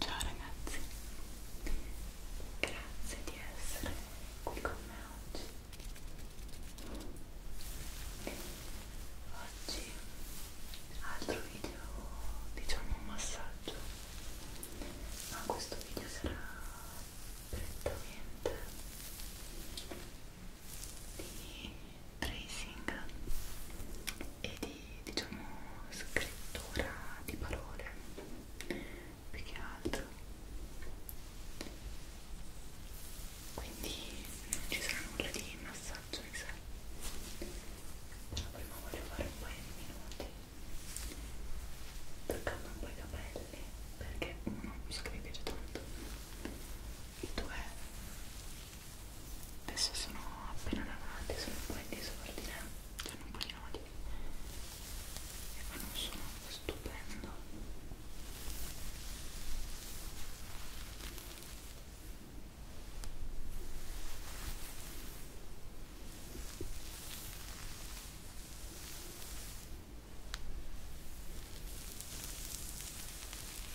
Ciao ragazzi, grazie di essere qui con me oggi. Oggi altro video, diciamo un massaggio, ma questo video sarà prettamente di tracing e di diciamo scrittura di parole più che altro quindi non ci sarà nulla di massaggio in sé però prima voglio fare un paio di minuti toccando un po' i capelli perché uno mi sa che mi piace tanto e due adesso sono appena davanti sono un po' in disordine cioè un po' di nodi e eh, ma non sono stupendo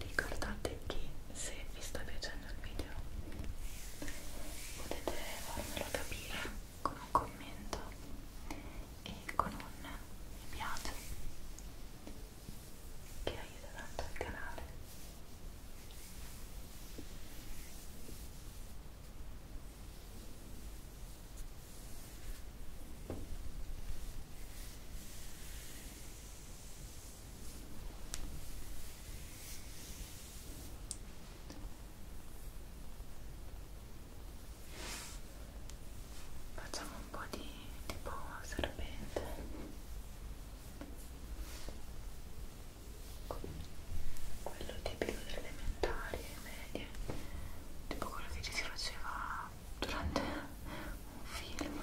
Ricordate che se vi sta piacendo il video potete farmelo capire con un commento e con un mi piace che aiuta tanto il canale. Ora Facciamo un po' di tipo serpente. Quello tipico delle elementari e medie, tipo quello che ci si faceva durante un film.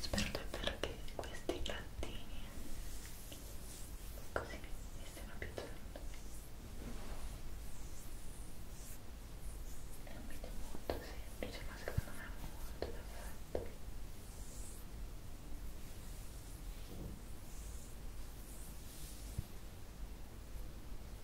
Spero davvero che questi gattini così mi stiano piacendo. È un video molto semplice, ma secondo me è molto perfetto. Spero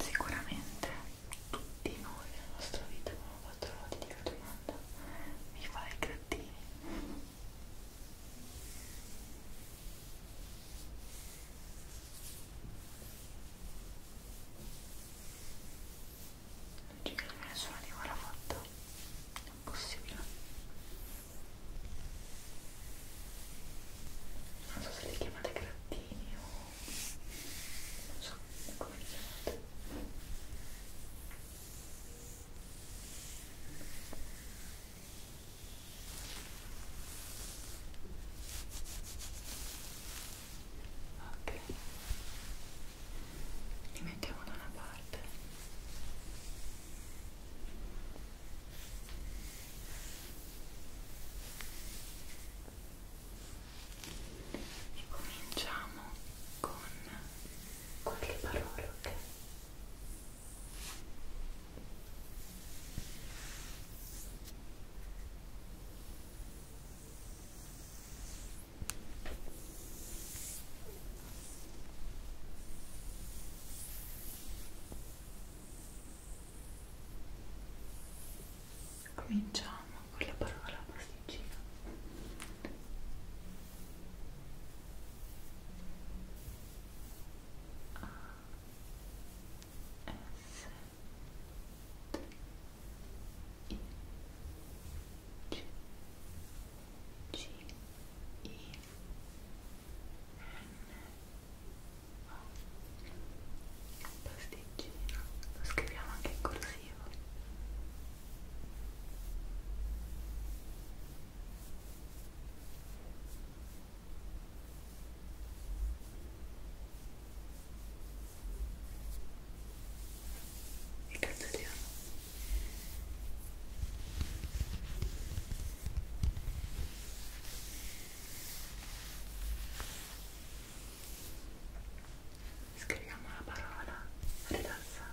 Sicuramente tutti noi nella nostra vita abbiamo fatto la fatica domanda mi fai i grattini? Non ci credo che nessuno di voi l'ha fatto. È impossibile. Non so se li chiamate grattini o... non so come li chiamate ok li mettiamo da una parte e cominciamo con qualche parola ok Cominciamo con la parola pasticcino. A S c I N O pasticcino lo scriviamo anche in corsivo e cancelliamo scriviamo la parola rilassante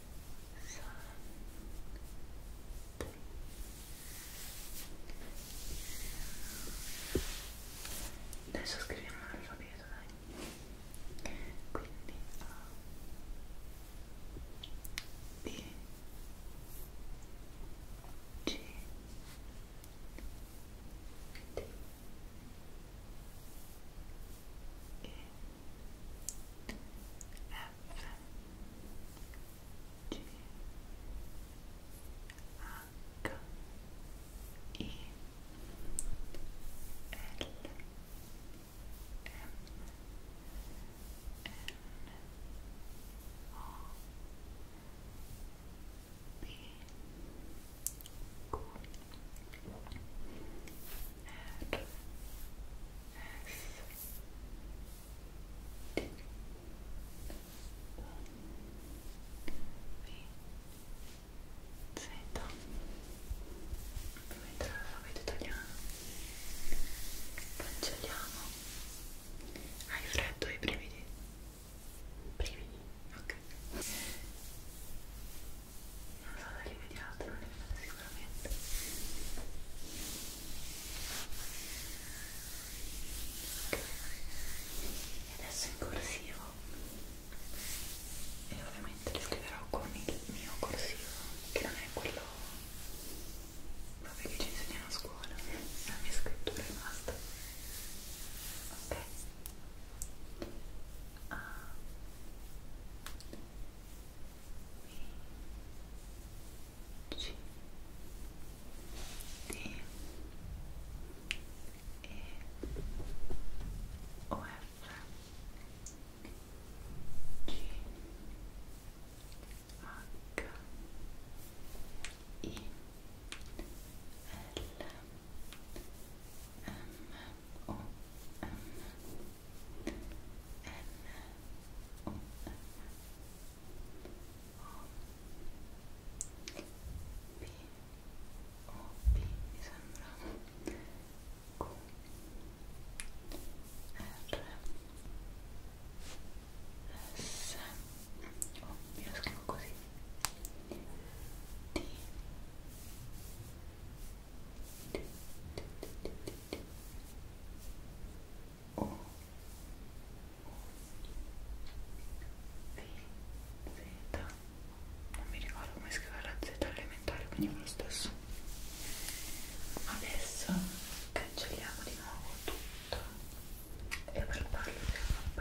Adesso scriviamo l'alfabeto, dai. Quindi A B C D E F G H I L M N O P Q R R S T V Z Proviamo l'alfabeto italiano Cancelliamo Hai freddo i brividi? Brividi? Ok non so se li vediate, non li vedete sicuramente okay. e adesso in corsivo e ovviamente li scriverò con il mio corsivo che non è quello proprio che ci insegnano a scuola la mia scrittura e basta ok ah. G D E O F G H I L M O M N O M O P O P mi sembra Q R S oh, io lo scrivo così D E Z non mi ricordo come scrivere la Z elementare quindi lo stesso adesso cancelliamo di nuovo tutto e preparo il pannello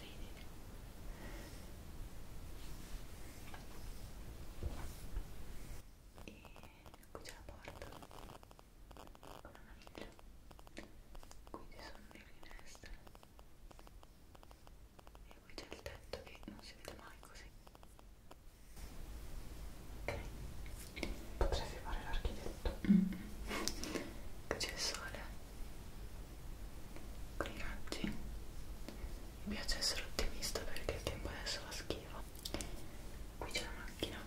sorridi e qui c'è la porta con una miglia qui ci sono le finestre e qui c'è il tetto che non si vede mai così ok potresti fare l'architetto mm -hmm. qui c'è il sole con i gatti mi piace essere ottimista perché il tempo adesso va schifo qui c'è la macchina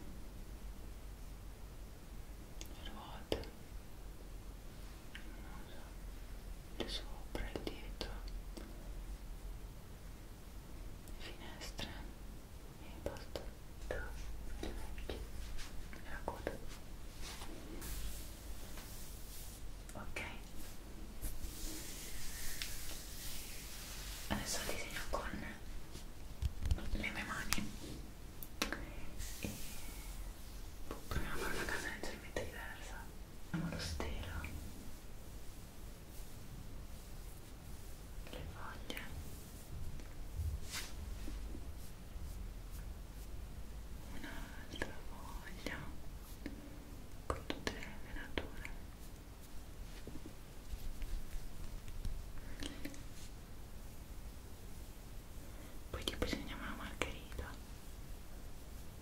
le ruote il sopra, il dietro le finestre e basta l'orecchio e la coda ok adesso disegno con le mie mani e proviamo a fare una cosa leggermente diversa andiamo allo stelo le foglie un'altra foglia con tutte le venature poi tipo disegniamo la margherita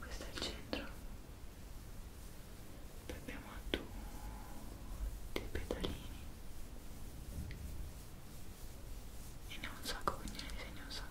questo è il centro poi abbiamo tutti i pedalini e ne ho un sacco quindi ne disegno un sacco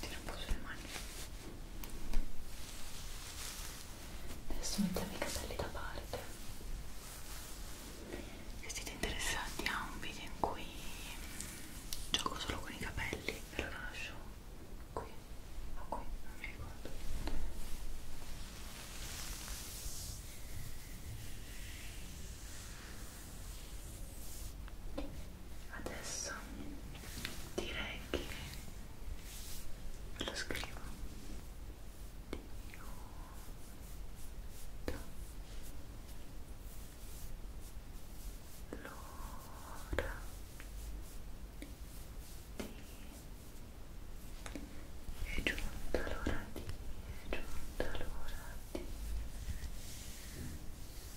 tira un po' sulle mani adesso mettiamo i capelli da parte se siete interessati a un video in cui gioco solo con i capelli ve lo lascio qui o ah, qui, non mi ricordo Adesso direi che lo scrivo Diudo l'ora di è giunta l'ora di è giunta l'ora di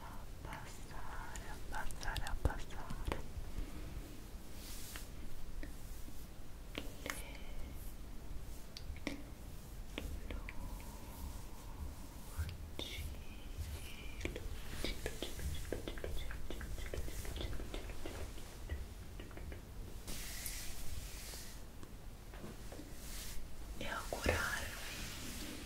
abbassare, abbassare, abbassare le luci, luci, luci, luci, luci, luci, luci, luci, luci, luci,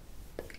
dreams. Good night, good night.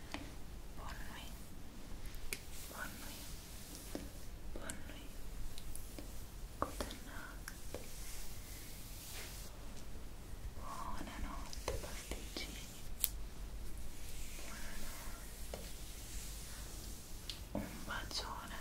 Bonne nuit. Bonne nuit. Bonne nuit. Good night. Un bacione.